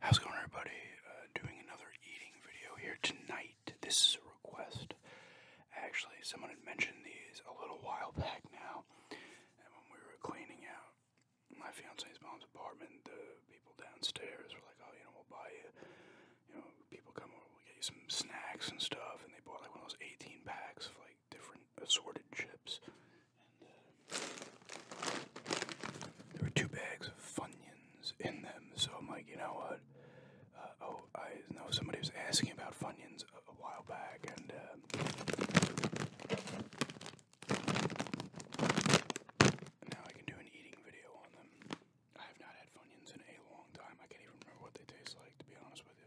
How's it going, everybody? Uh, doing another eating video here tonight. This is a request. Actually, someone had mentioned these a little while back now, and when we were cleaning out my fiance's mom's apartment, the people downstairs were like, "Oh, you know, we'll buy you, you know, people come over, we'll get you some snacks and stuff," and they bought like one of those 18 packs of like different assorted chips there were two bags of Funyuns in them, so I'm like, you know what? Uh, oh, I know somebody was asking about Funyuns a, while back, and uh, now I can do an eating video on them. I have not had Funyuns in a long time. I can't even remember what they taste like, to be honest with you.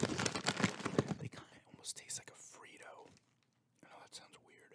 They kind of almost taste like a Frito. I know that sounds weird.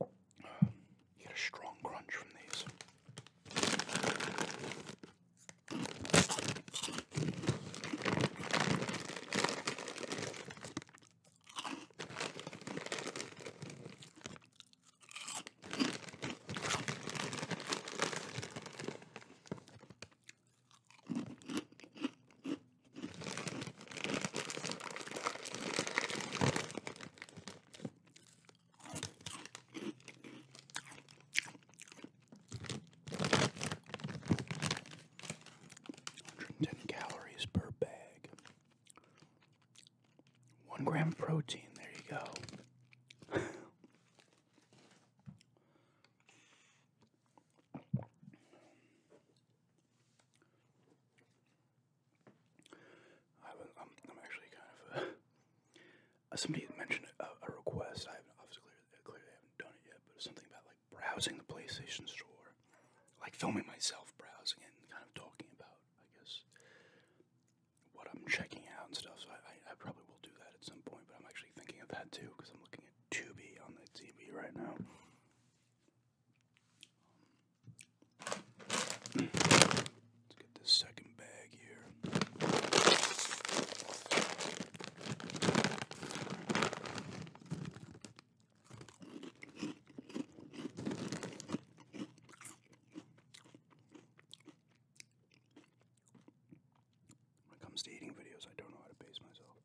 You get a strong crunch from these. 110 calories per bag. One gram protein, there you go. I am actually kind of somebody mentioned a, request. I haven't obviously clearly haven't done it yet, but something about like browsing the PlayStation Store, like filming myself browsing and kind of talking about, I guess, what I'm checking out and stuff. So I, I, I probably will do that at some point. But I'm actually thinking of that too because I'm looking at Tubi on the TV right now. Let's get this second bag here. When it comes to eating videos, I don't know how to pace myself.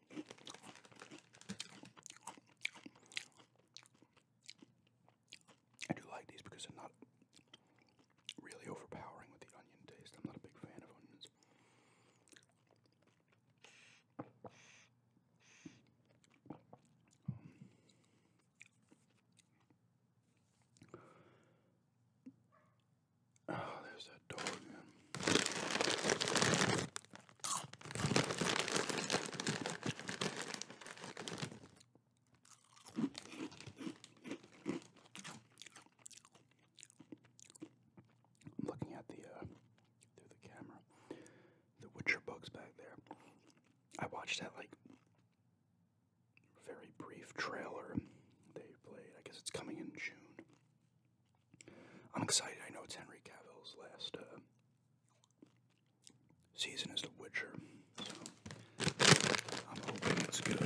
I do like these because they're not really overpowering with the onion taste. I'm not a big fan of onions. Oh, there's that door again. I'm looking at the uh, through the camera, the Witcher bugs back there. I watched that like very brief trailer they played. I guess it's coming in June. I'm excited. I know it's Henry Cavill's last uh, season as The Witcher. So I'm hoping it's good.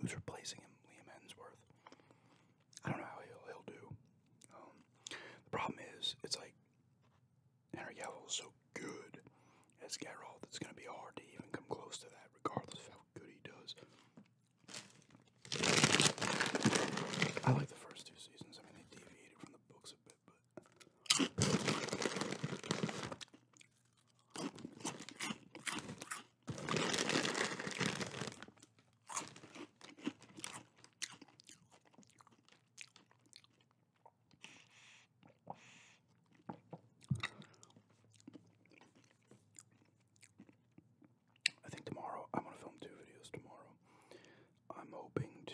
Who's replacing him? Liam Hemsworth. I don't know how he'll, he'll do. Um, the problem is, it's like Henry Cavill is so good as Geralt. It's going to be hard to even come close to that, regardless of how good he does. I like the first two seasons. I mean, they deviated from the books a bit, but. I think tomorrow I'm to film two videos tomorrow. I'm hoping to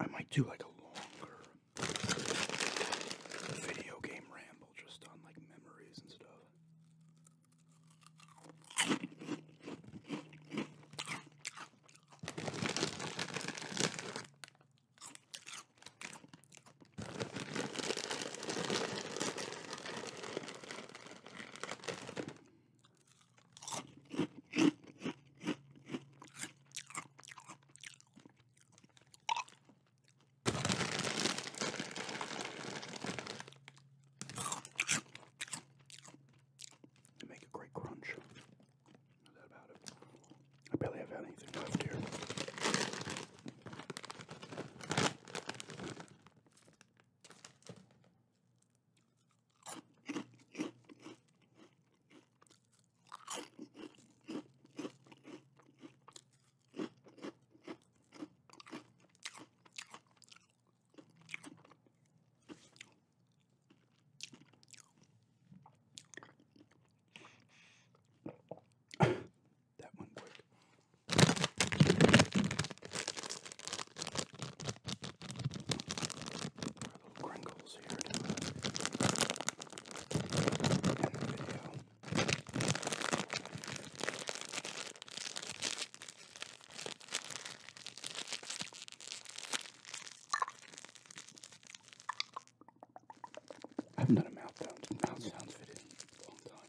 I might do like a longer a video game ramble just on like memories and stuff. They make a great crunch. I barely have anything left here that one quick. Our little gringo I haven't done a mouth sound mouth sounds in a long time.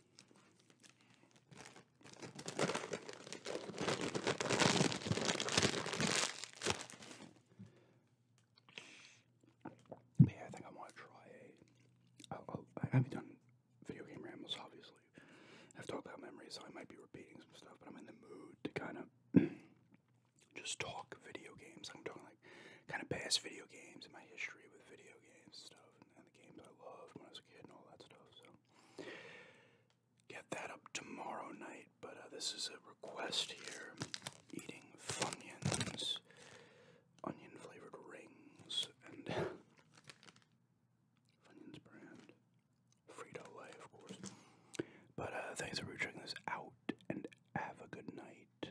yeah, I think I want to try oh, oh, I haven't done video game rambles, obviously. I've talked about memory, so I might be repeating some stuff, but I'm in the mood to kind of just talk video games. I'm talking like kind of past video games and my history with video games stuff and, the games I loved when I was a kid and all that stuff. So get that up tomorrow night. But uh, this is a request here: eating Funyuns, onion flavored rings, and Funyuns brand, Frito Lay, of course. But uh, thanks for checking this out, and have a good night.